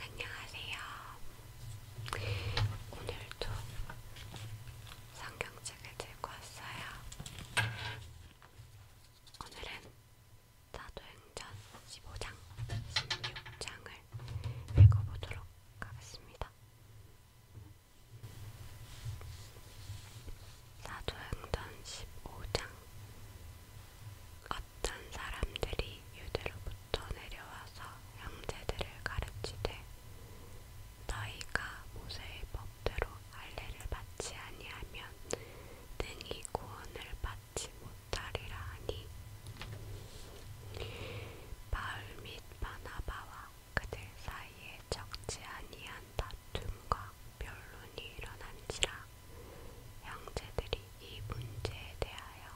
안녕하세요. 오늘도 성경책을 들고 왔어요. 오늘은 사도행전 15장, 16장을 읽어보도록 하겠습니다. 사도행전 15장 어떤 사람들이 유대로부터 내려와서 형제들을 가르치되 너희가 모세의 법대로 할례를 받지 아니하면 능히 구원을 받지 못하리라 하니 바울 및 바나바와 그들 사이에 적지 아니한 다툼과 변론이 일어난지라 형제들이 이 문제에 대하여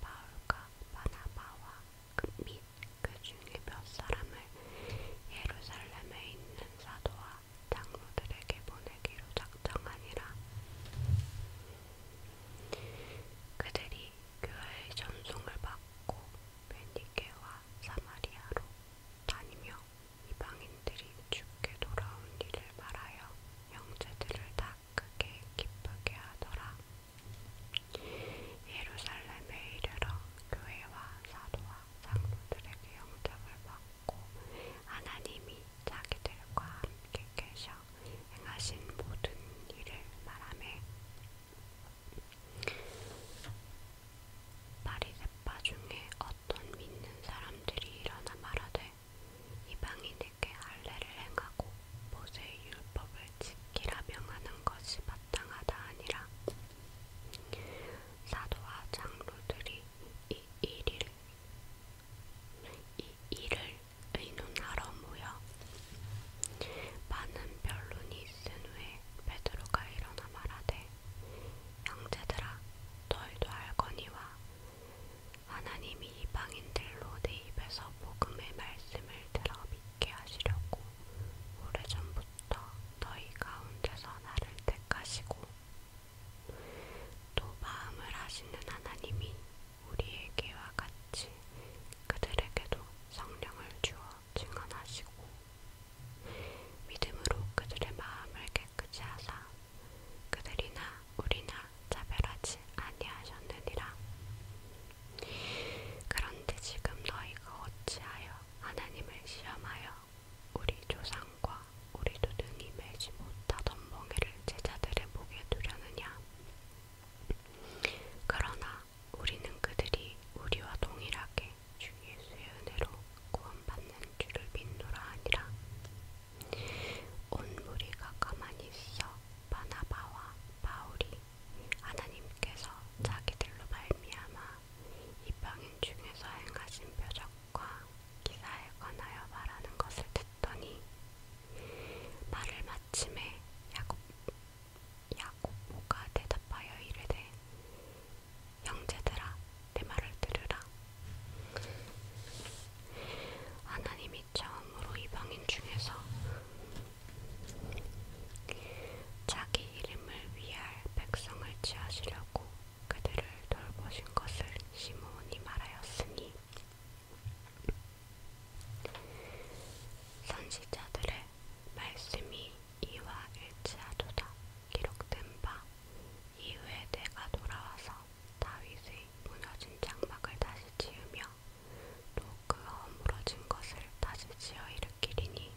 바울과 바나바와 그 및 그중에 몇 사람을 예루살렘에 있는 사도와 장로들에게 보내기로 작정하니라. 그들이 교회의 전송을 받고 베니게와 사마리아로 다니며 이방인들이 죽게 돌아온 일을 말하여 형제들을 다 크게 기쁘게 하더라. 예루살렘에 이르러 교회와 사도와 장로들에게 영접을 받고 하나님이 자기들과 함께 계셔 행하신 모든 일을 말하며 바리새파 중에 어떤 믿는 사람들이 일어나 말하되 이방인에게 할례를 행하고 모세의 율법을 지키라 명하는 것이 마땅하다 아니라 사도와 장로들이 이 일을 이 일을 의논하러 모여 많은 변론이 있은 후에 베드로가 일어나 말하되 형제들아 너희도 알거니와 하나님이 이방인들로 내 입에서 복음의 말씀을 들어 믿게 하시려고 오래전부터 너희 가운데서 나를 택하시고 또 마음을 아시는 하나님이 우리에게와 같이 그들에게도 성령을 주어 증언하시고 믿음으로 그들의 마음을 깨끗이 하사 그들이나 우리나 차별하지 아니하셨느니라. 그런데 지금 너희가 어찌하여 하나님을 시험하여 우리 조상과 우리도 능히 매지 못하던 멍에를 제자들의 목에 두려느냐? 그러나 우리는 그들이 우리와 동일하게 주 예수의 은혜로 구원받는 줄을 믿노라 하니라. 온 무리가 가만히 있어 바나바와 바울이 하나님께서 자기들로 말미암아 이방인 중에서 행하신 표적과 기사에 관하여 말하는 것을 듣더니 말을 마침에 야곱, 야곱모가 대답하여 이르되 형제들아 내 말을 들으라 하나님이 처음으로 이방인 중에서 자기 이름을 위할 백성을 지하시려고 그들을 돌보신 것을 시므온이 말하였으니 선지자들의 말씀이 이와 일치하도다 기록된 바 이후에 내가 돌아와서 다윗의 무너진 장막을 다시 지으며 또그 허물어진 것을 다시 지어 일으키리니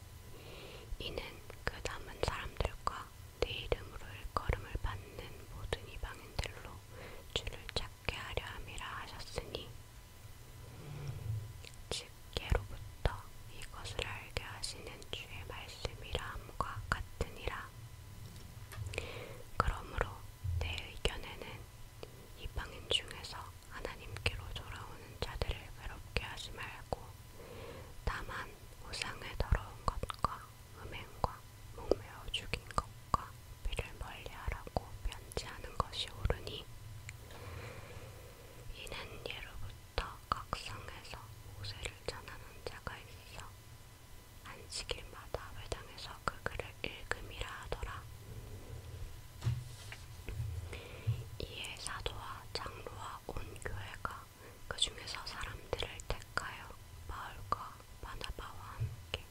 이는 그 남은 사람들과 내 이름으로 일걸음을 받는 모든 이방인들로 주를 찾게 하려 함이라 하셨으니 쉽게로부터 이것을 알게 하시는 주의 말씀이라함과 같으니라. 그러므로 내 의견에는 이방인 중에서 하나님께로 돌아오는 자들을 외롭게 하지 말고 다만 우상의 더러운 것과 음행과 목매어 죽인 것과 피를 멀리하라고 편지하는 것이 옳으니 이는 예로부터 각성에서 모세를 전하는 자가 있어 안식일마다 회당에서 그 글을 읽음이라 하더라. 이에 사도와 장로와 온 교회가 그 중에서 사람들을 택하여 바울과 바나바와 함께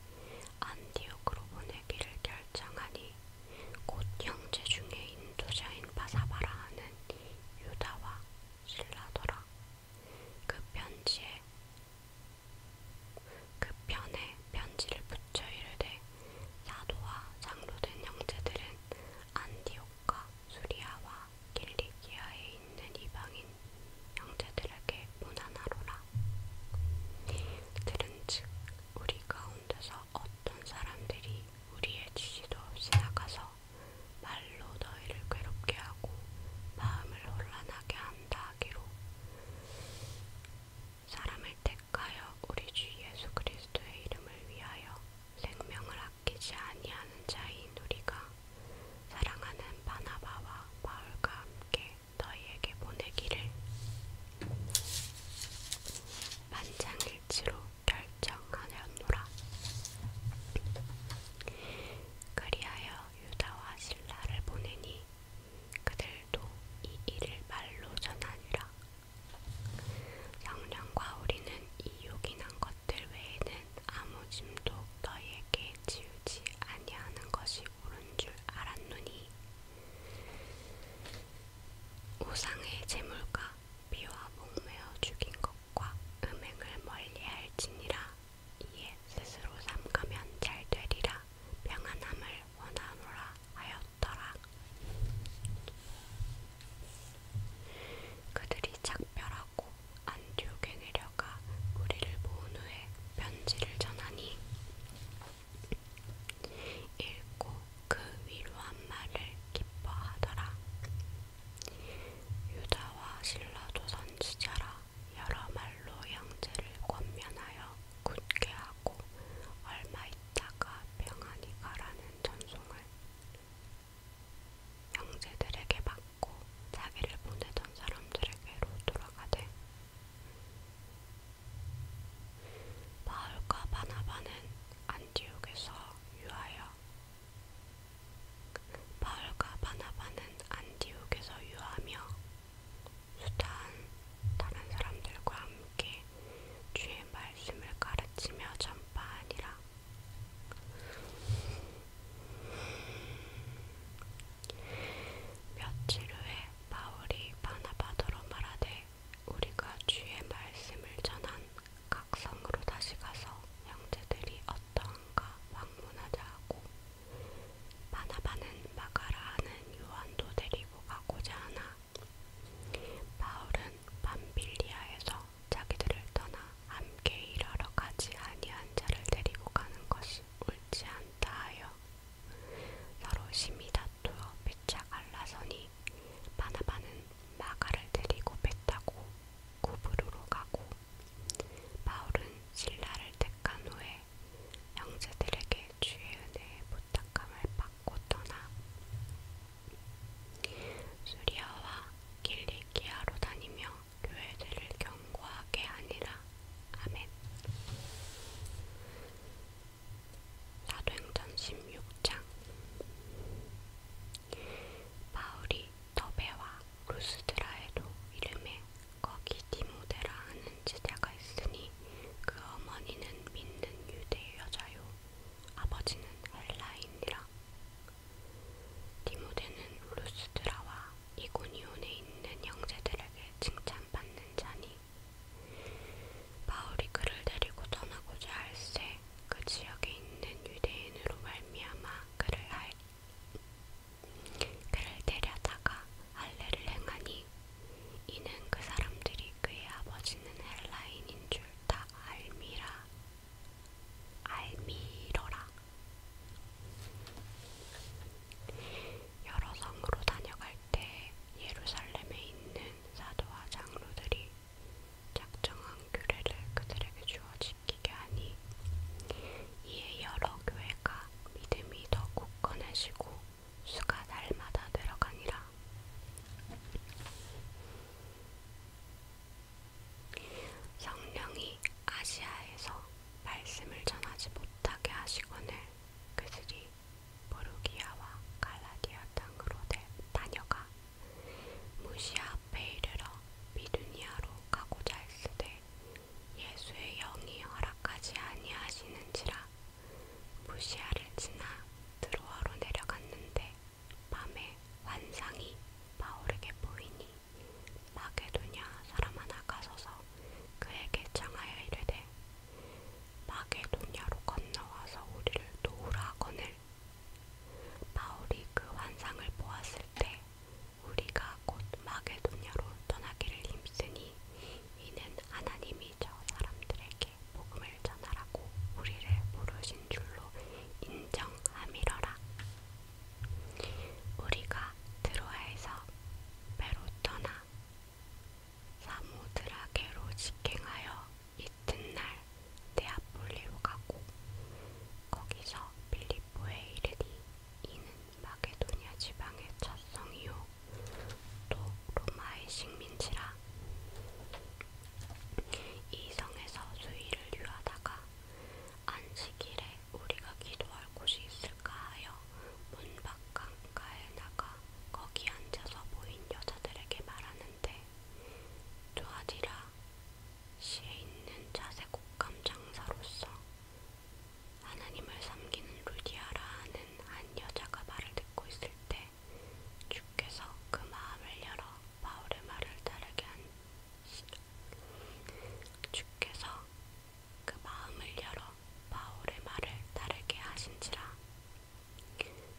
안디옥으로 보내기를 결정하니 곧 형제 중에 인도자인 바사바라는 유다와 신라더라. 그 편지에 그 편에 편지를 붙여 이르되 사도와 장로된 형제들은 안디옥과 수리아와 길리기아에 있는 이방인 형제들에게 문안하로라. 들은즉 우리 가운데서 어떤 어떤 사람들이 우리의 지시도 없이 나가서 말로 너희를 괴롭게 하고 마음을 혼란하게 한다 하기로 사람을 택하여 우리 주 예수 그리스도의 이름을 위하여 생명을 아끼지 아니하는 자인 우리가 사랑하는 바나바와 바울과 함께 너희에게 보내기를 만장일치로 결정하였노라. 그리하여 유다와 신라를 보내니 그들도 이 일을 말로 전하니라. 성령과 우리는 이 요긴한 것들 외에는 아무 짐도 너희에게 지우지 아니하는 것이 옳은 줄 알았노니 우상의 재물과 비와 목매어 죽인 것과 음행을 멀리할지니라 이에 스스로 삼가면 잘 되리라 평안함을 원하노라 하였더라 그들이 작별하고 안디옥에 내려가 무리를 모은 후에 편지를 전하니 읽고 그 위로한 말을 기뻐하더라. 유다와 신라도 선지자라 여러 말로 형제를 권면하여 굳게 하고 얼마 있다가 평안히 가라는 전송을 형제들에게 받고 자기를 보내던 사람들에게로 돌아가되 바울과 바나바는 안디옥에서 유하여 바울과 바나바는 안디옥에서 유하며 수다한 다른 사람들과 함께 주의 말씀을 가르치며 전파하니라. 며칠 후에 바울이 바나바더로 말하되 우리가 주의 말씀을 전한 각성으로 다시 가서 형제들이 어떠한가 방문하자 하고 바나바는 마가라 하는 요한도 데리고 가고자 하나 바울은 밤빌리아에서 자기들을 떠나 함께 일하러 가지 아니한 자를 데리고 가는 것이 옳지 않다 하여 서로 심히 다투고 도어 배차 알라선이 바나바는 마가를 데리고 배 타고 구부르로 가고 바울은 신라를 택한 후에 형제들에게 주의 은혜의 부탁함을 받고 떠나 수리아와 길리기아로 다니며 교회들을 경고하게 아니라 아멘 사도행전 16장 바울이 더베와 루스드라에도 이름에 거기 디모데라 하는 제자가 있으니 그 어머니는 믿는 유대 여자요 아버지는 헬라인이라 디모데는 루스드라와 이고니온에 있는 형제들에게 칭찬받는 자니 바울이 그를 데리고 떠나고자 할세 그 지역에 있는 유대인으로 말미암아 그를 알 그를 데려다가 할례를 행하니 이는 그 사람들이 그의 아버지는 헬라인인 줄 다 알미라 알미러라 여러 성으로 다녀갈 때 예루살렘에 있는 사도와 장로들이 작정한 규례를 그들에게 주어 지키게 하니 이에 여러 교회가 믿음이 더 굳건해지고 수가 날마다 늘어가니라. 성령이 아시아에서 말씀을 전하지 못하게 하시거늘 그들이 부르기아와 갈라디아 땅으로 다녀가 무시아 앞에 이르러 미두니아로 가고자 했으되 예수의 영이 허락하지 아니하시는지라 무시아를 지나 드로아로 내려갔는데 밤에 환상이 바울에게 보이니 마게도냐 사람 하나 가서서 그에게 청하여 이르되 마게도냐로 건너와서 우리를 도우라 거늘 바울이 그 환상을 보았을 때 우리가 곧 마게도냐로 떠나기를 힘쓰니 이는 하나님이 저 사람들에게 복음을 전하라고 우리를 부르신 줄로 인정함이러라. 우리가 드로아에서 배로 떠나 사모드라게로 직행하여 이튿날 데아폴리로 가고 거기서 빌리포에 이르니 이는 마게도니아 지방의 첫 성이요 또 로마의 식민지라 이 성에서 수위를 유하다가 안식일에 우리가 기도할 곳이 있을까 하여 문밖 강가에 나가 거기 앉아서 보인 여자들에게 말하는데 조아지라 시에 있는 자색 옷감 장사로서 하나님을 섬기는 루디아라 하는 한 여자가 말을 듣고 있을 때 주께서 그 마음을 열어 바울의 말을 따르게 한 주께서 그 마음을 열어 바울의 말을 따르게 하신지라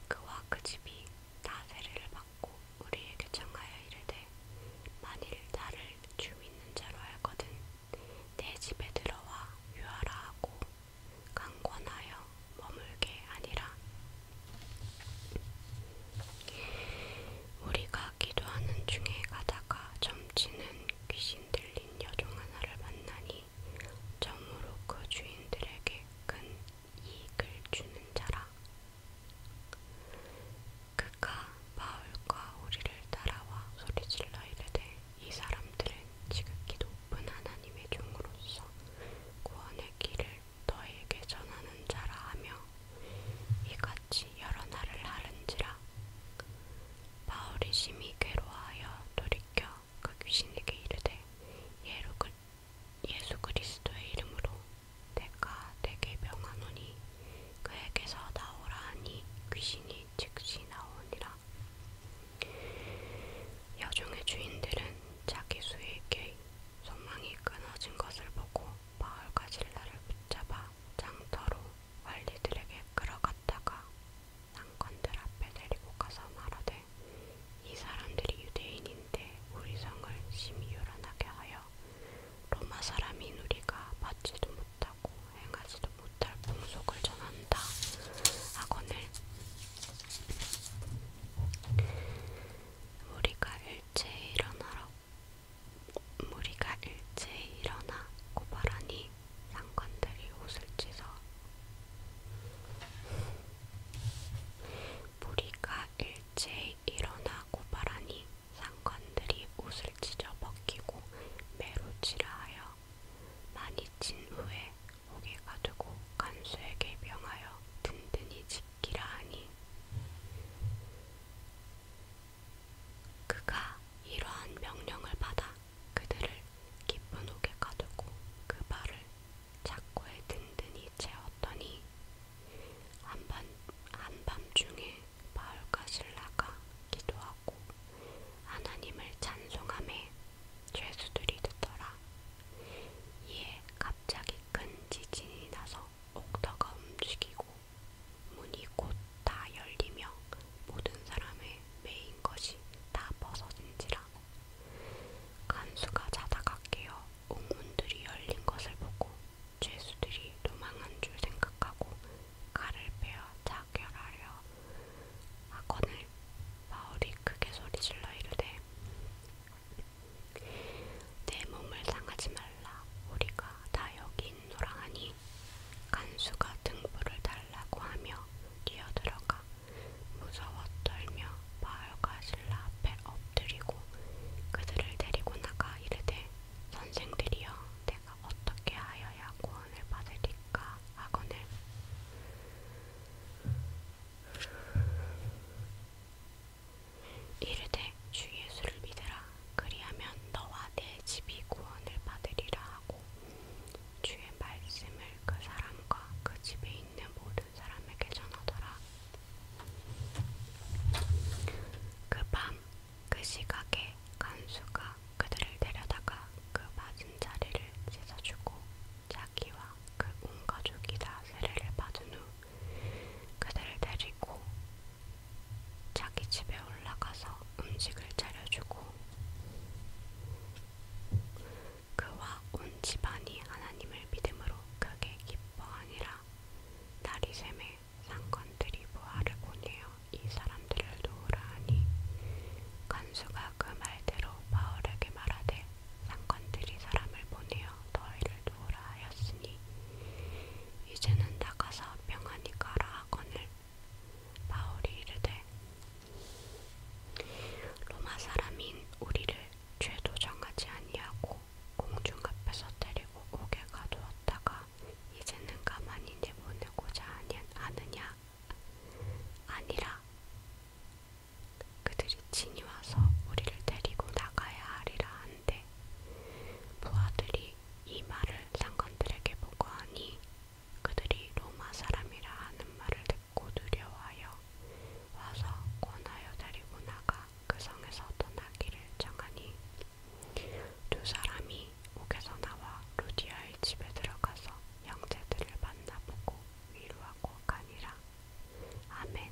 그와 그 집이 다 세례를 받고 우리에게 청하여 이르되 만일 나를 주 믿는 자로 알거든 내 집에 들어와 유하라 하고 강권하여 머물게 아니라 우리가 기도하는 중에 가다가 점치는 귀신 들린 여종 하나를 만나니 있으니 정으로 그 주인들에게 큰 이익을 주는 자라. 그가 바울과 우리를 따라와 소리질러 이르되 이 사람들은 지극히 높은 하나님의 종으로서 구원의 길을 너에게 전하는 자라 하며 이같이 여러 날을 하른지라 바울이 심히 괴로워하여 돌이켜 그 귀신에게 이르되 그, 예수 그리스도의 이름으로 내가 내게 명하노니 그에게서 나오라 하니 귀신이 즉시 나오니라. 여종의 주인들은 자기 수에게 소망이 끊어진 것을 보고 바울과 신라를 붙잡아 장터로 관리들에게 끌어갔다가 상관들 앞에 데리고 가서 말하되 이 사람들이 유대인인데 우리 성을 심히 요란하게 하여 로마 사람인 우리가 받지도 못하고 행하지도 못할 풍속을 전한다 하거늘 우리가 일제히 일어나라 무리가 일제히 일어나 고발하니 상관들이 옷을 찢어 무리가 일제히 일어나고 바라니 상관들이 옷을 찢어 벗기고 매로치라 하여 많이 친 후에 오개가 되고 간수에게 명하여 든든히 지키라 하니 그가 이러한 명령을 받아 그들을 깊은 옥에 가두고 그 발을 자꾸에 든든히 채웠더니 한밤, 한밤중에 바울과 신라가 기도하고 하나님을 찬송함에 죄수들이 듣더라. 이에 갑자기 큰 지진이 나서 옥터가 움직이고 문이 곧 다 열리며 모든 사람의 메인 것이 다 벗어진지라. 간수가 자다가 깨어 옥문들이 열린 것을 보고 죄수들이 도망한 줄 생각하고 칼을 빼어 자결하려 하거늘 바울이 크게 소리질러 이르되 내 몸을 상하지 말라 우리가 다 여기 있노라 하니 간수가 등불을 달라고 하며 뛰어들어가 무서워 떨며 마을과 신라 앞에 엎드리고 그들을 데리고 나가 이르되 선생들이여 내가 어떻게 하여야 구원을 받으리까 하거늘 이르되 주 예수를 믿으라 그리하면 너와 내 집이 구원을 받으리라 하고 주의 말씀을 그 사람과 그 집에 있는 모든 사람에게 전하더라. 그밤그 그 시각에 간수가 그들을 데려다가 그 맞은 자리를 씻어주고 자기와 그 온 가족이 다 세례를 받은 후 그들을 데리고 자기 집에 올라가서 음식을 차려주고 그와 온 집안이 하나님을 믿음으로 크게 기뻐하니라. 날이 샘에 상관들이 부하를 보내어 이 사람들을 도우라 하니 간수가 그 말대로 바울에게 말하되 상관들이 사람을 보내어 너희를 도우라 하였으니 이제는 나가서 명하니 가라 하거늘 바울이 이르되 로마 사람인 우리를 죄도 정하지 아니하고 공중 앞에서 데리고 옥에 가두었다가 이제는 가만히 내보내고자 하느냐 아니라 그들이 친히 와서 우리를 데리고 나가야 하리라 한데 부하들이 이 말을 상관들에게 보고하니 그들이 로마 사람이라 하는 말을 듣고 두려워하여 와서 권하여 데리고 나가 그 성에서 떠나기를 정하니 두 사람이 옥에서 나와 루디아의 집에 들어가서 형제들을 만나보고 위로하고 가니라. 아멘.